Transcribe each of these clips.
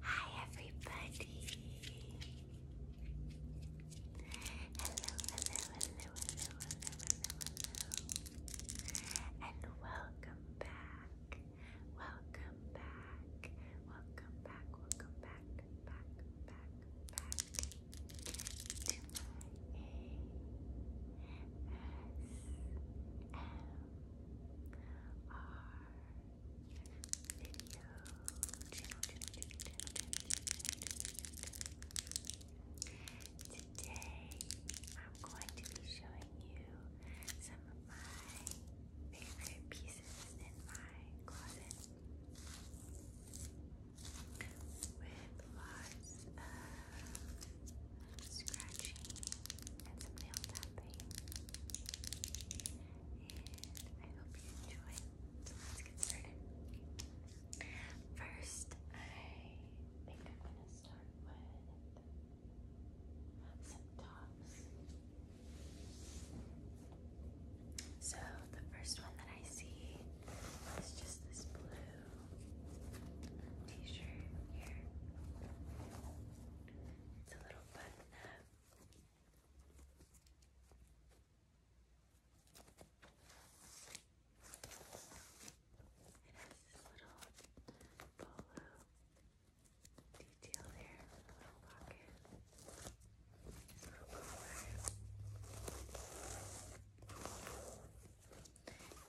Hi everybody. Hello, hello, hello, hello, hello, hello, hello. And welcome back. Welcome back. Welcome back. Welcome back. Back, back, back to my ASMR video Today, I'm going to be showing you some of my favorite pieces in my closet with lots of scratching and some nail tapping. I hope you enjoy. So let's get started. First, I think I'm gonna start with some tops. So the first one that I see is just this blue t-shirt here. It's a little button up. It has little polo detail there, little pocket,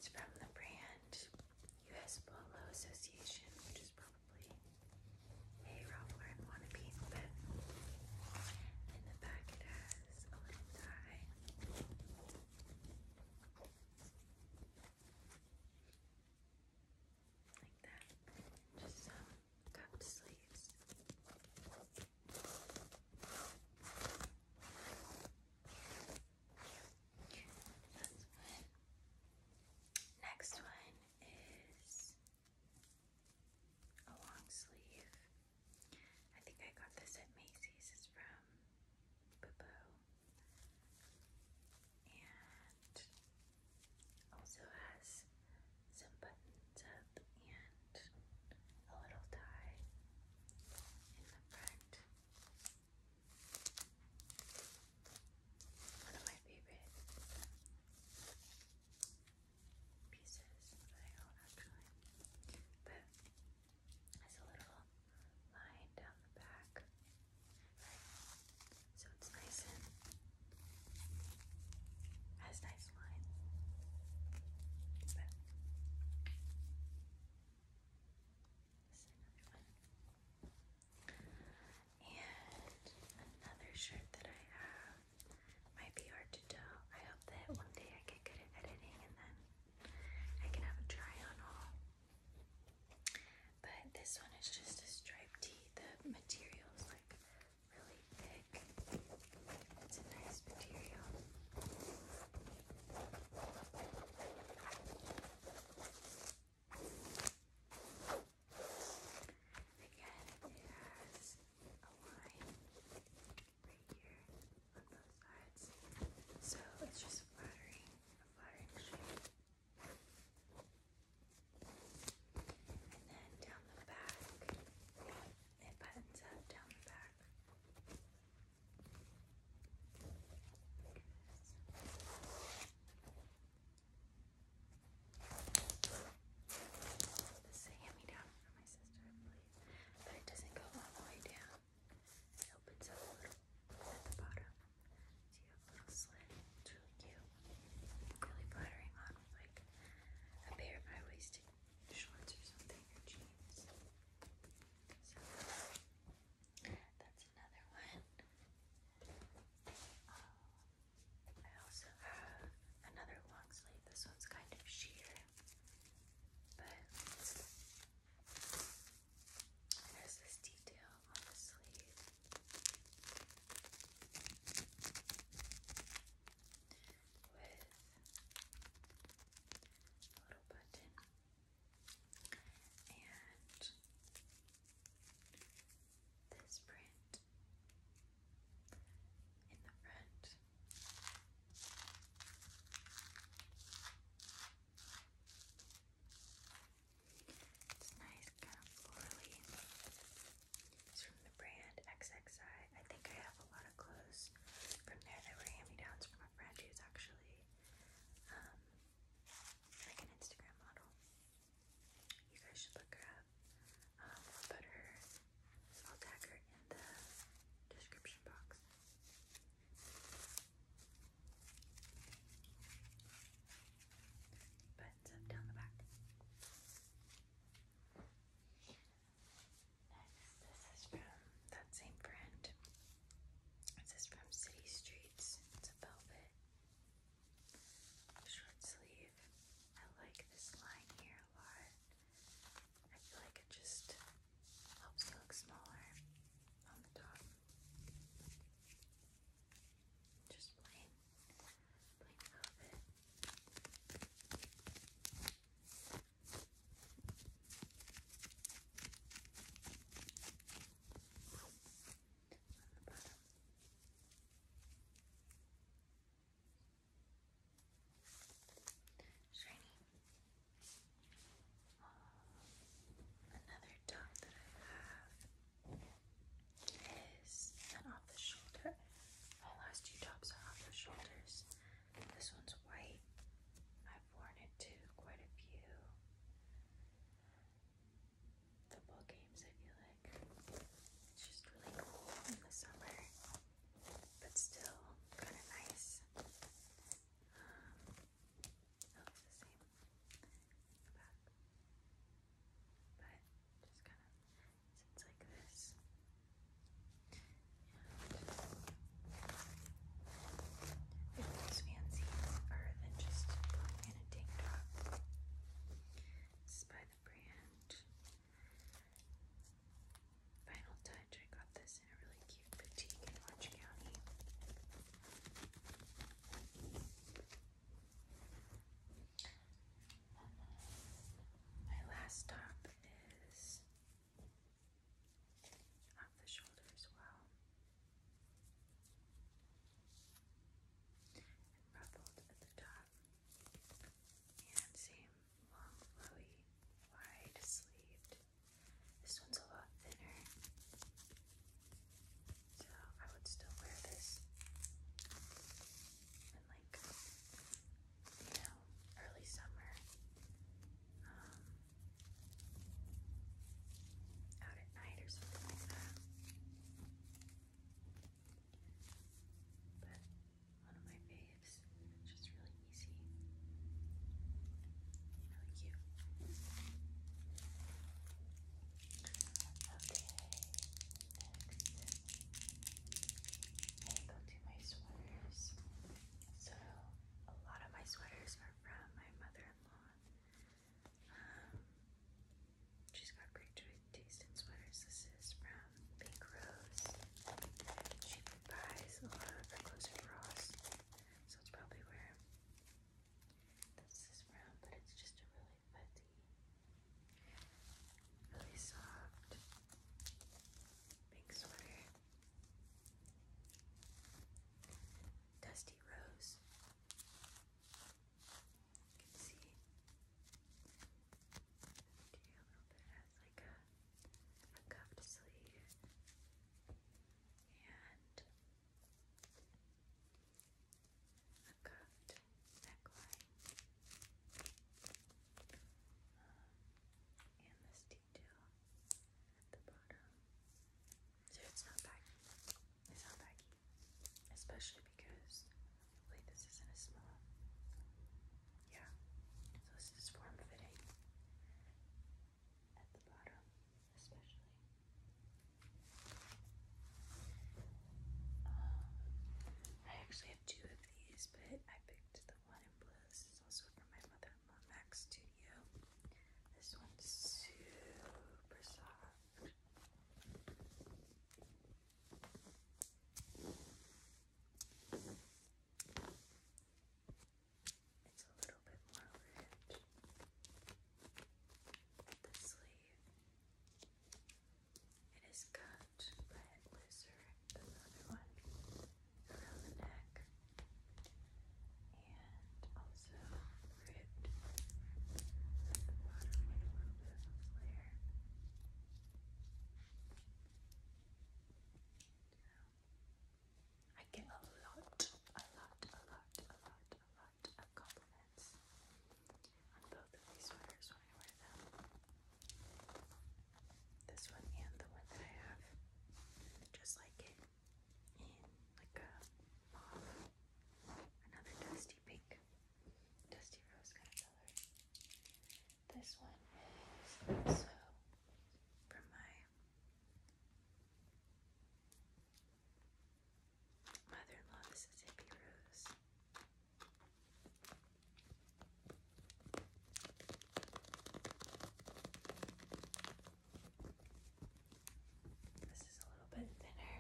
It's from the brand U.S. Polo Association, which is probably a Ralph Lauren wannabe, but in the back it has a little tie. Like that. Just some cupped sleeves. Next one is a long sleeve. I think I got this at Macy's. It's from Bobo. And also has some buttons up and a little tie in the front. One of my favorite pieces that I own actually. But there's a little line down the back. Right? So it's nice and has nice lines. But this is another one. And another shirt that I have might be hard to tell. I hope that one day I get good editing and then I can have a try on all. But this one is just a striped tee. The material is like really thick. It's a nice material. Again, it has a line right here on both sides. So it's just a flattering shape. And then down the back, it buttons up down the back. This is a me down from my sister, I believe, but it doesn't go all the way down. It opens up at the bottom, so you have a little slit. It's really cute, really flattering on with like a pair of high-waisted shorts or something or jeans. So that's another one. Um, I also have another long sleeve. This one's kind of sheer, but there's this detail on the sleeve. With a little button and this print in the front. It's nice, kind of florally. It's from the brand XXI. I think I have a lot of clothes from there that were hand-me-downs from a friend who's actually um, like an Instagram model. You guys should look her up. Um, i I'll tag her in the description box. Buttons up um, down the back. Next, this is from that same brand. This is from City Streets. It's a velvet short sleeve. I like this line here a lot. I feel like it just helps it look smaller on the top. Just plain, plain velvet on the Shiny. another dot that I have is off the shoulder. My last two tops are off the shoulders. This one's white. I've worn it to quite a few football games, I feel like. It's just really cool in the summer, but still kind of nice. Um, oh, it the same but just kind of sits like this. And it looks than just in a tank top. This is by the brand. Final Touch. I got this in a really cute boutique in Orange County. My last top is off the shoulder as well. ruffled at the top and same um, long, flowy, wide sleeved. This one's a lot thinner, so I would still wear this in like you know early summer. Um, out at night or something like that. But one of my faves. just really easy. Really cute. Okay, next I go my sweaters. So a lot of my sweaters are from my mother-in-law. Um, She's got great taste in sweaters. This is from Pink Rose. She buys a lot of her clothes so it's probably where this is from. But it's just a really fuzzy, really soft pink sweater. Dusty Rose. You can see the like a, a cuffed sleeve and a cuffed neckline. Um, and this detail at the bottom. So it's not baggy. It's not baggy. Especially because Wait, this isn't a small. Yeah. So this is form fitting at the bottom, especially. Um, I actually have two of these, but I picked the one in blue. This is also from my mother in Studio. This one's super soft. It's a little bit more red. The sleeve. It is cut by it looser the other one around the neck and also ripped the bottom with a little bit of flare. I get a lot, a lot, a lot, a lot, a lot of compliments on both of these sweaters when I wear them. This one and the one that I have, just like it, in like a mauve, another dusty pink dusty rose kind of color. This one is also from my mother-in-law. This is hippie rose. This is a little bit thinner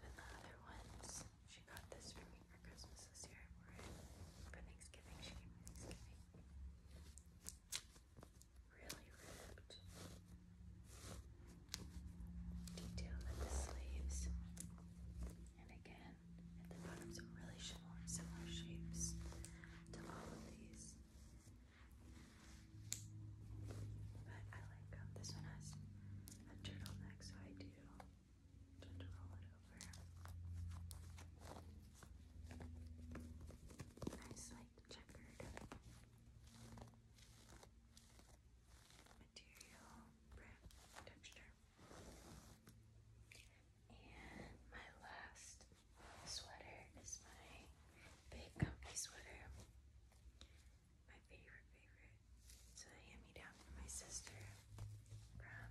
than the other ones. She got this for me for Christmas this year. For, Thanksgiving, she gave me Thanksgiving. Really ripped. Detail at the sleeves. And again, the bottom, some really similar, similar shapes to all of these. But I like um, this one has a turtleneck, so I do just roll Nice, like checkered material, texture. And my last sweater is my big comfy sweater. My favorite, favorite. So a hand-me-down from my sister from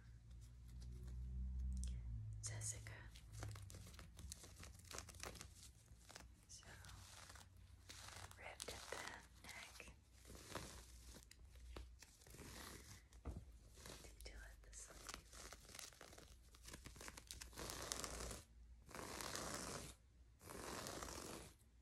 Jessica. So ripped at the neck. Detail at the sleeve.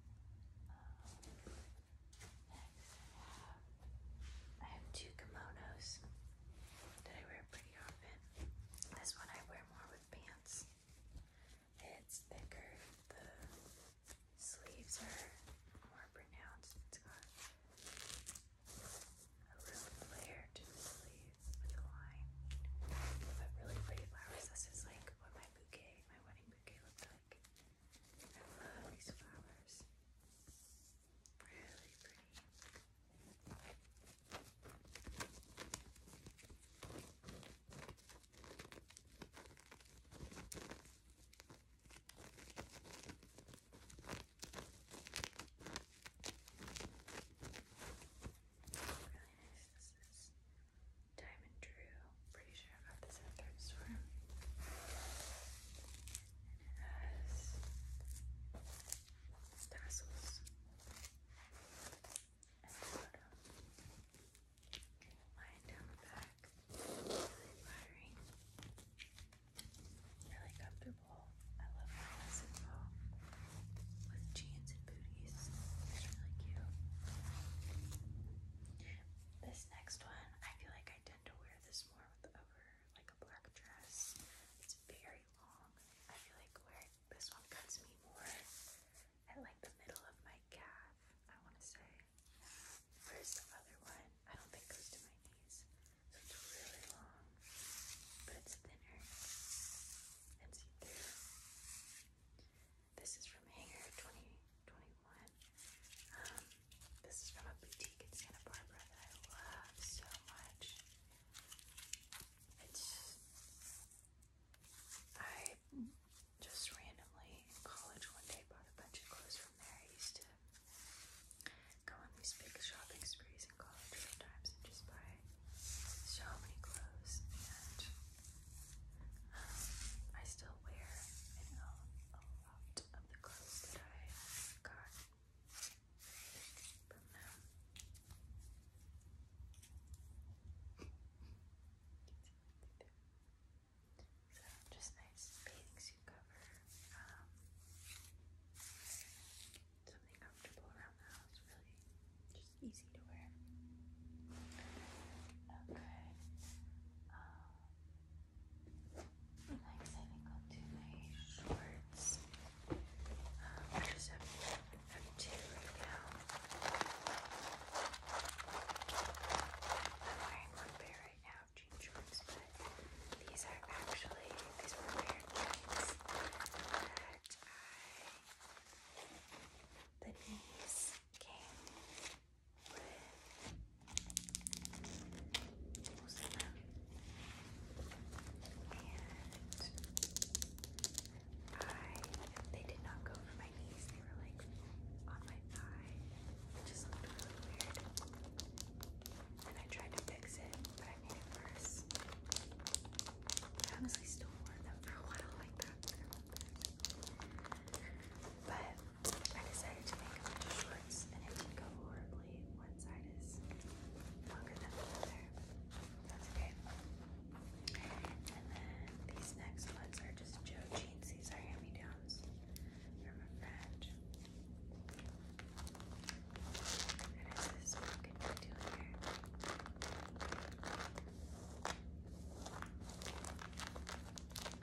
Um, I have, two kimonos that I wear pretty often. This one I wear more with pants. It's thicker. The sleeves are more pronounced. It's got a real flare to the sleeves with a line. But really pretty flowers. This is like what my bouquet, my wedding morning bouquet like. I love these flowers. Really pretty. Really nice this is. Diamond Drew. Pretty sure I got this at thrift store. it has tassels at the bottom. Lying down the back. Really flattering. Really comfortable. I love my lesson ball with jeans and booties. It's really cute. This next one, I feel like I tend to wear this more with over like a black dress. It's very long. I feel like wearing this one cuts me more at like the middle of my calf, I want to say. Where's the other one? I don't think goes to my knees. So it's really long, but it's thinner and see through. This is from Hanger 2021. Um, this is from a boutique in Santa Barbara that I love so much. It's I just randomly in college one day bought a bunch of clothes from there. I used to go on these big shopping sprees in college sometimes and just buy so many clothes and I still wear a lot of the clothes that I got from them. just nice bathing suit cover. Um, something comfortable around the house, really. Just easy to wear. Okay. Um, next, I think I'll do my shorts. I just have, two right now. I'm wearing one pair right now of jean shorts, but these are actually, these were pair jeans that the knees came and I, they did not go for my knees, they were like on my thigh. It just looked really weird. And I tried to fix it, but I made it worse. I honestly still wore them for a while like that. But I decided to make a them of shorts and it didn't go horribly. One side is longer than the other. That's okay. And then these next ones are just Joe jeans. These are hand-me-downs from a friend. And it's this pocket doing here.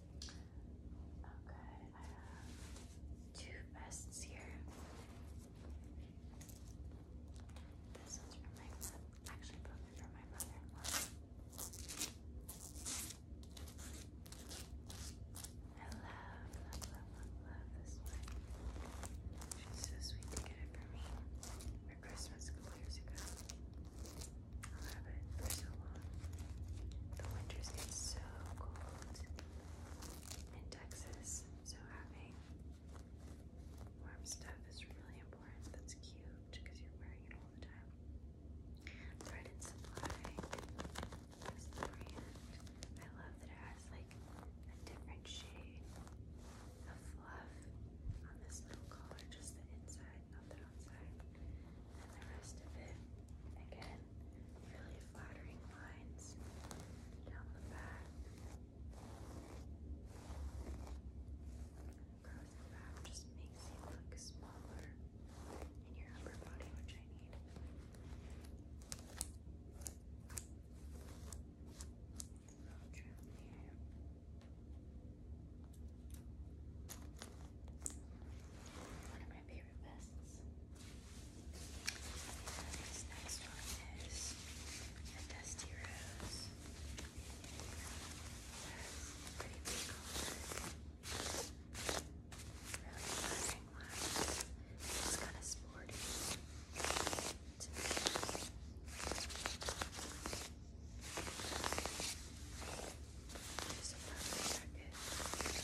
Okay, I have two vests here. This one's for my Actually, both are for my mother-in-law. I love, love, love, love, this one. She's so sweet to get it for me for Christmas a couple years ago. I'll it for so long. The winters get so cold in Texas, so having warm stuff is really important. That's cute because you're wearing it all the time. Bread Supply is brand. I love that it has like different shade of fluff on this little collar, just the inside, not the outside. And the rest of it, again, really flattering lines down the back, across back just makes you look smaller in your upper body, which I need. I'll trim rip your wrists. this next one is a dusty rose. pretty big Really flattering It's kind of sporty. To me. a purple jacket.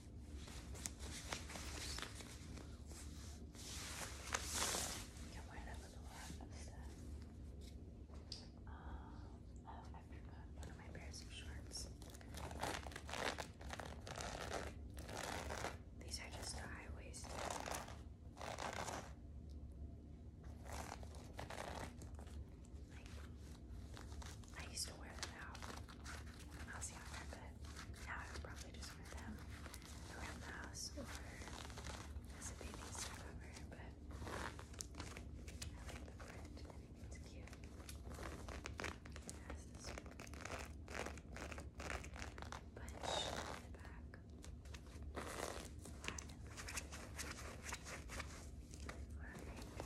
You can wear that uh, um, one of my pairs of shorts. These are just high waisted. I used to wear them out mousy on her, but now I would probably just wear them around the house or as a bathing suit cover, but I like the print. I think it's cute. It has this bunch in the back, flat in the front. What a great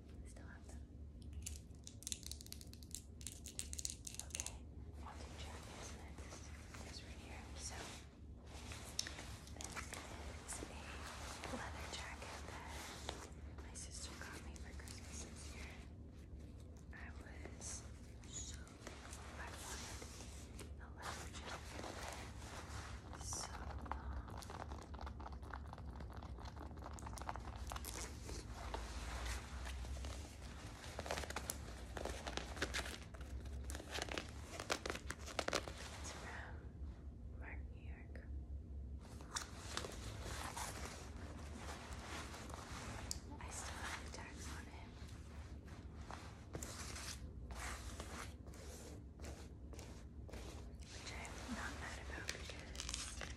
I still Okay, I want to this next. right here. So, this is a leather jacket that my sister got me for Christmas this year. I was so thankful I wanted leather jacket so um, it's from Mark New York. I still have tags on it. Which I'm not mad about because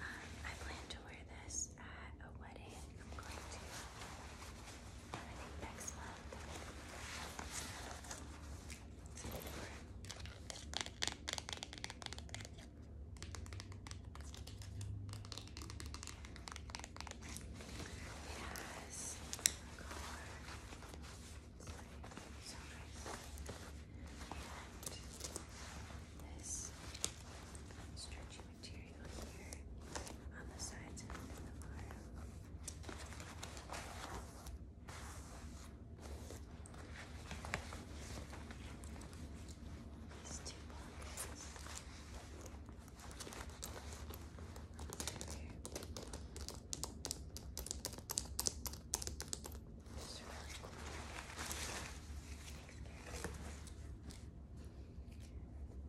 Um, I plan to wear this at a wedding. I'm going to, I think next month. It's so and this stretchy material here on the sides and in the arm. These two pockets. Over here.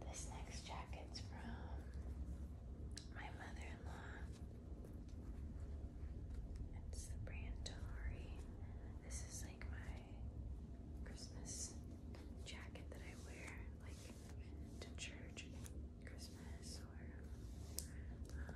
This next jacket's from my mother-in-law. It's the brand Tori. This is like my Christmas jacket that I wear like to church Christmas or um,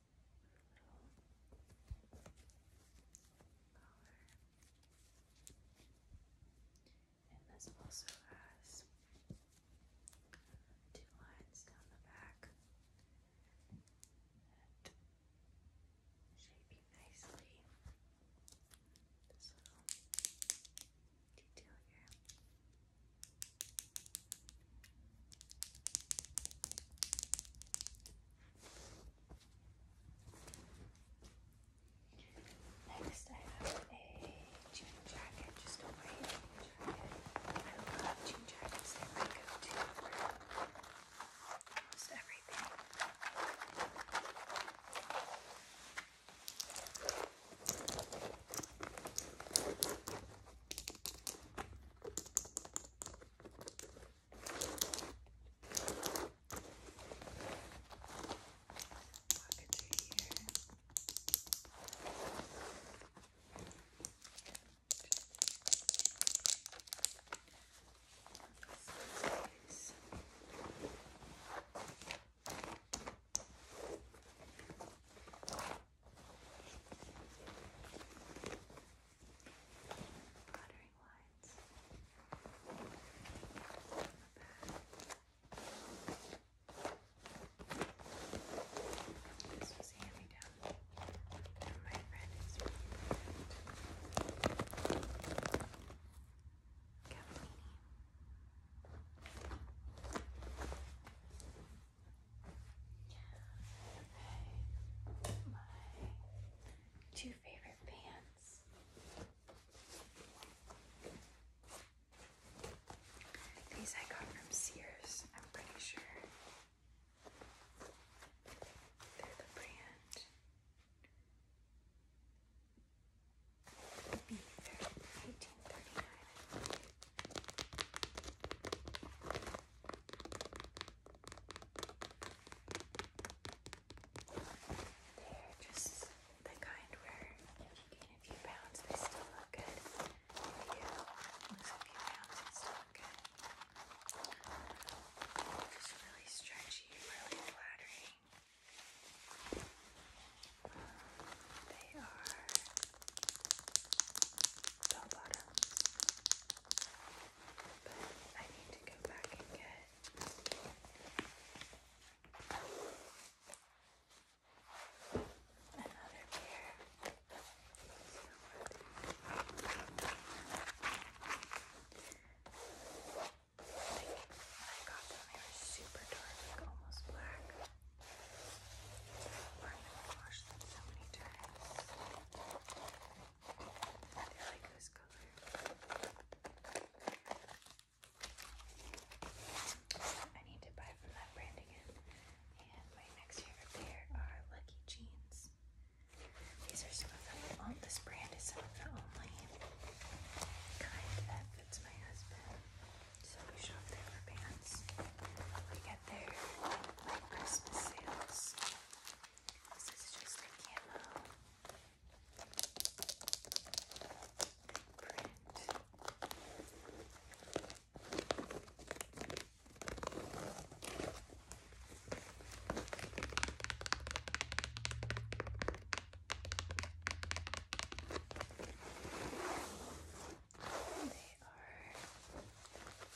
color. And this also has two lines down the back shaping nicely this little detail here. Next, I have a jean jacket, just a white jean jacket. I love jean jackets, they're my go to for almost everything. I Pockets are here. This Okay. Fluttering lines. This was a hand me down from my friend. It's really perfect. Cavallini. My two favorite pants. These I got from Sears, I'm pretty sure. They're the brand. They're just the kind where gain a few pounds, they still look good. lose a few pounds, they still look good. Just really stretchy, really flattering. they are I need to go back and get another pair. I got them, they were super dark, like almost black. I'm going them so many times. I like need to buy from that brand again. And my next pair are Lucky Jeans. These are some of the on oh, brand is some of the only kind that fits my husband. So we shop there for pants. We get there like Christmas sales. This is just a camo print. They are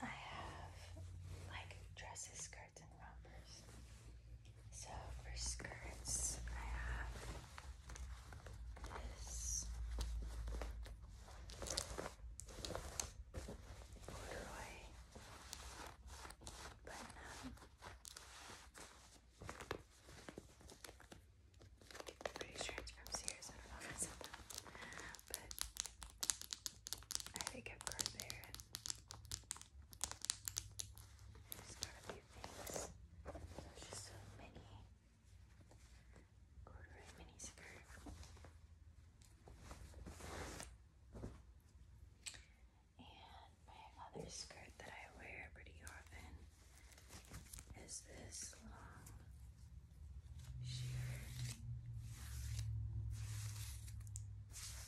I have like dresses, skirts, and rompers. So for skirts, I have this corduroy I'm pretty sure from Sears. I don't know if But I think I've got there. Just a few things. There's just a mini corduroy mini skirt. And my other skirt that I wear pretty often is this long uh, sheer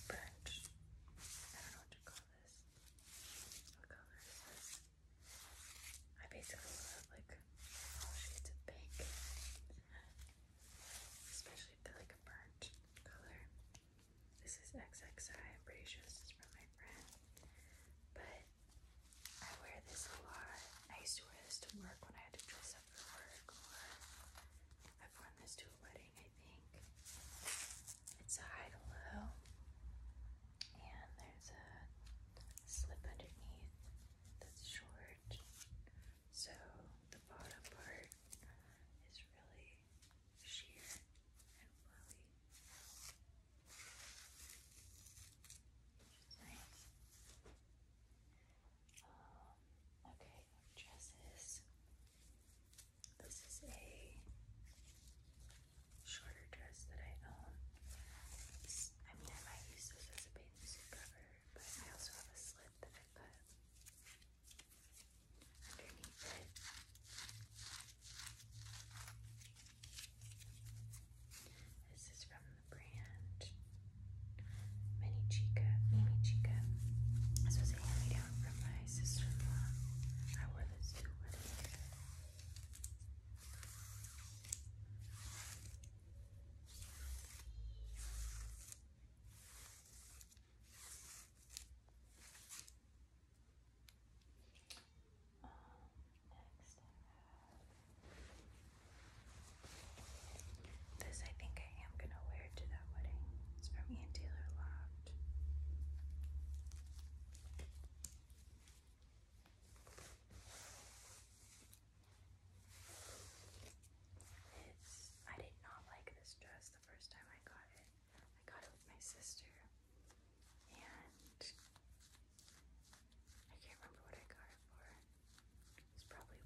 birch. I don't know what to call this. What color is this? I basically love like all shades of pink. Especially if they're like a burnt color. This is XXI, I'm pretty sure this is from my friend. But I wear this a lot. I used to wear this to work when I had to dress up for work, or I've worn this to a wedding, I think. It's a high low, and there's a slip underneath that's short, so the bottom part is really sheer and flowy. Which nice. Um, okay, dresses. This is a shorter dress that I own. I mean, I might use this as a bathing suit cover, but I also have a slit that I put underneath it. This is from the brand Mini Chica, Mini Chica. This was a hand-me-down from my sister-in-law. I wore this to this I think I am gonna wear to that wedding. It's from Ian Taylor Loft. It's I did not like this dress the first time I got it. I got it with my sister and I can't remember what I got it for was probably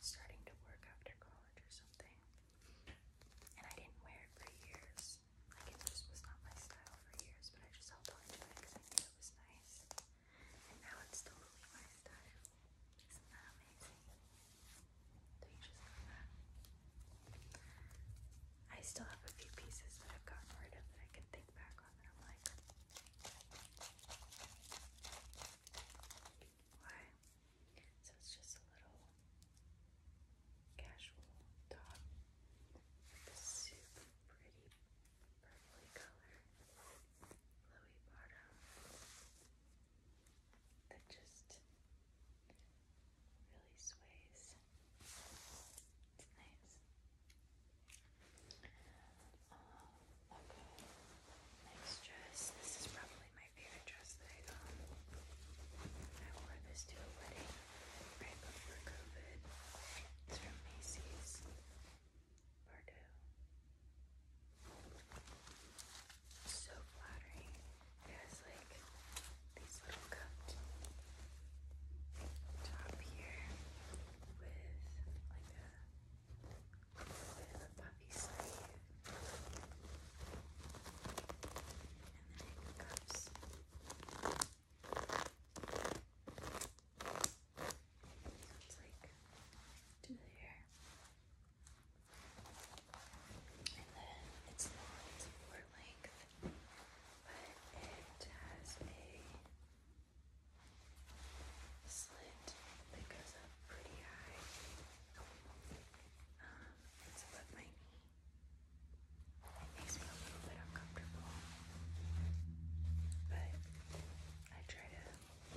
starting to work after college or something. And I didn't wear it for years. Like, it just was not my style for years, but I just held on to it because it was nice. And now it's totally my style. Isn't that amazing? do you just love that? I still have a few pieces that I've gotten rid of that I can think back off, and So it's just a little casual top super pretty purpley color, flowy bottom that just really sways. It's nice. Uh, okay. dress. This is probably my favorite dress that I wore this to a wedding right before COVID. It's from Macy's. Pardon. So flattering. It has like these little cupped top here with like a with a It's like to the hair. And then it's not for length, but it has a slit that goes up pretty high. Um, it's above my knee. It makes me a little bit uncomfortable, but I try to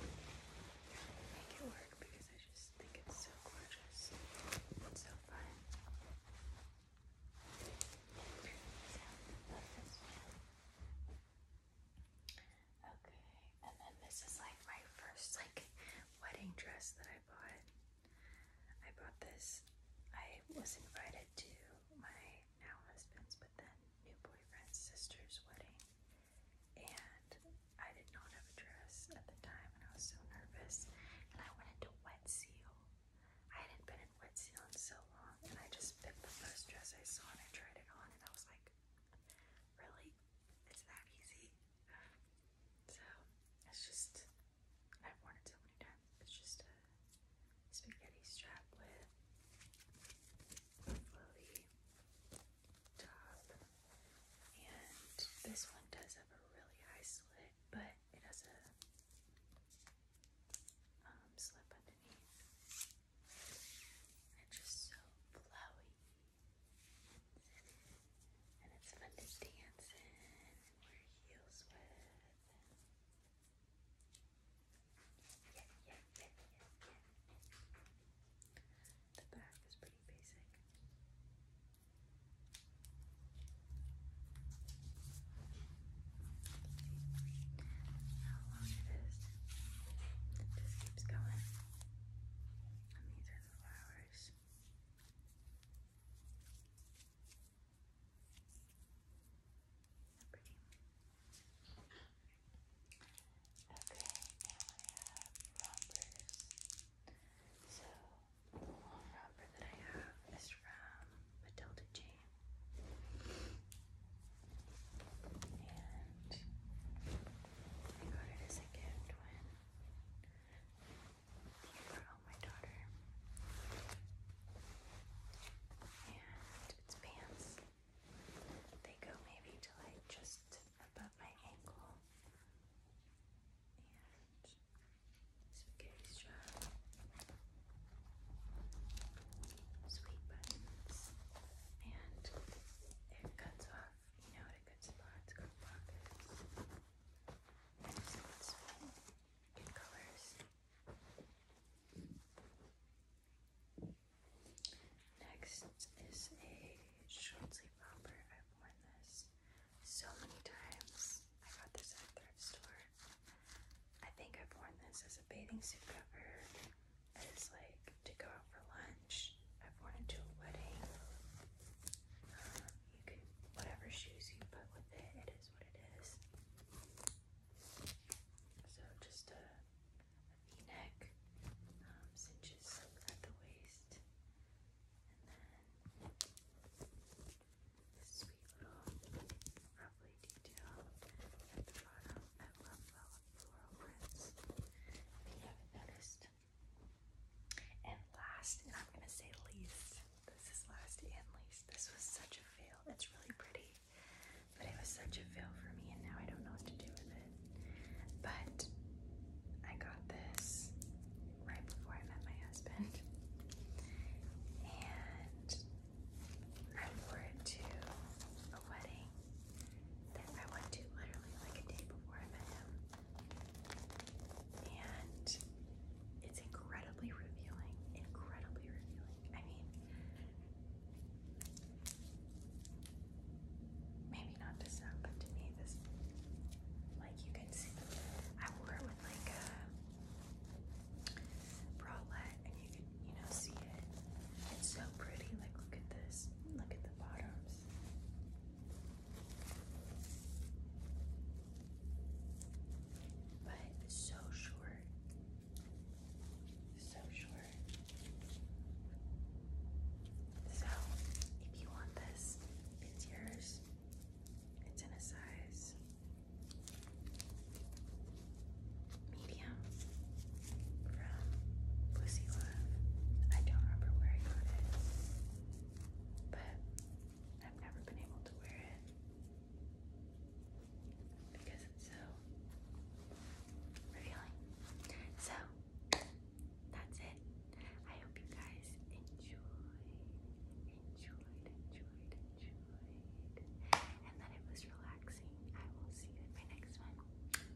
make it work because I just think it's so gorgeous and so fun. Okay, and then this is like my first like wedding dress that I bought. I bought this. I was invited to my now husband's, but then new boyfriend's sister's wedding, and I did not have a dress at the time, and I was so nervous. And I went into Wet Seal. I hadn't been in Wet Seal in so long, and I just picked the first dress I saw and I tried it on, and I was like, Really? It's that easy. So it's just I've worn it so many times. It's just spaghetti strap with a floaty top. And this one does have a really high slit, but it has a um, slip underneath. They're just so flowy. And it's fun to dance in wear heels with. Yeah, yeah, yeah, yeah, yeah. The back is pretty basic. How long it is. just keeps going. And these are the flowers. Okay, now I have rompers. So the long romper that I have is from Matilda Jane. And I got it as a gift when I brought my daughter. And it's pants. They go maybe to like just above my ankle. And spaghetti strap. Sweet buttons. And it cuts off, you know, at a good spot, it's got pockets. So it's colors. Next is a short sleeve romper. I've worn this so many times. I got this at thrift store. I think I've worn this as a bathing suit cover, and it's like to go out for lunch. I've worn it to a wedding. Um, whatever shoes you put with it, it is what it is. So just a, a v-neck, um, cinches at the waist. And then sweet little lovely detail at the bottom. I love, love, if you haven't noticed. And last, and I'm going to say least, this is last and least. This was such a fail. It's really pretty, but it was such a fail for me, and now I don't know what to do with it. But I got this right before I met my husband, and I wore it to a wedding I went to literally like a day before I met him. And it's incredibly revealing. Incredibly revealing. I mean, maybe not to some, but to me, this, like, you can see, I wore it with like a bralette, and you can, you know, see it. It's so pretty. Like, look at this. Look at the bottoms. But so short. So short. So if you want this, it's yours. It's in a size medium from Pussy Love. I don't remember where I got it, but I've never been able to wear it because it's so revealing. So that's it. I hope you guys enjoyed, enjoyed, enjoyed, enjoyed, and that it was relaxing. I will see you in my next one.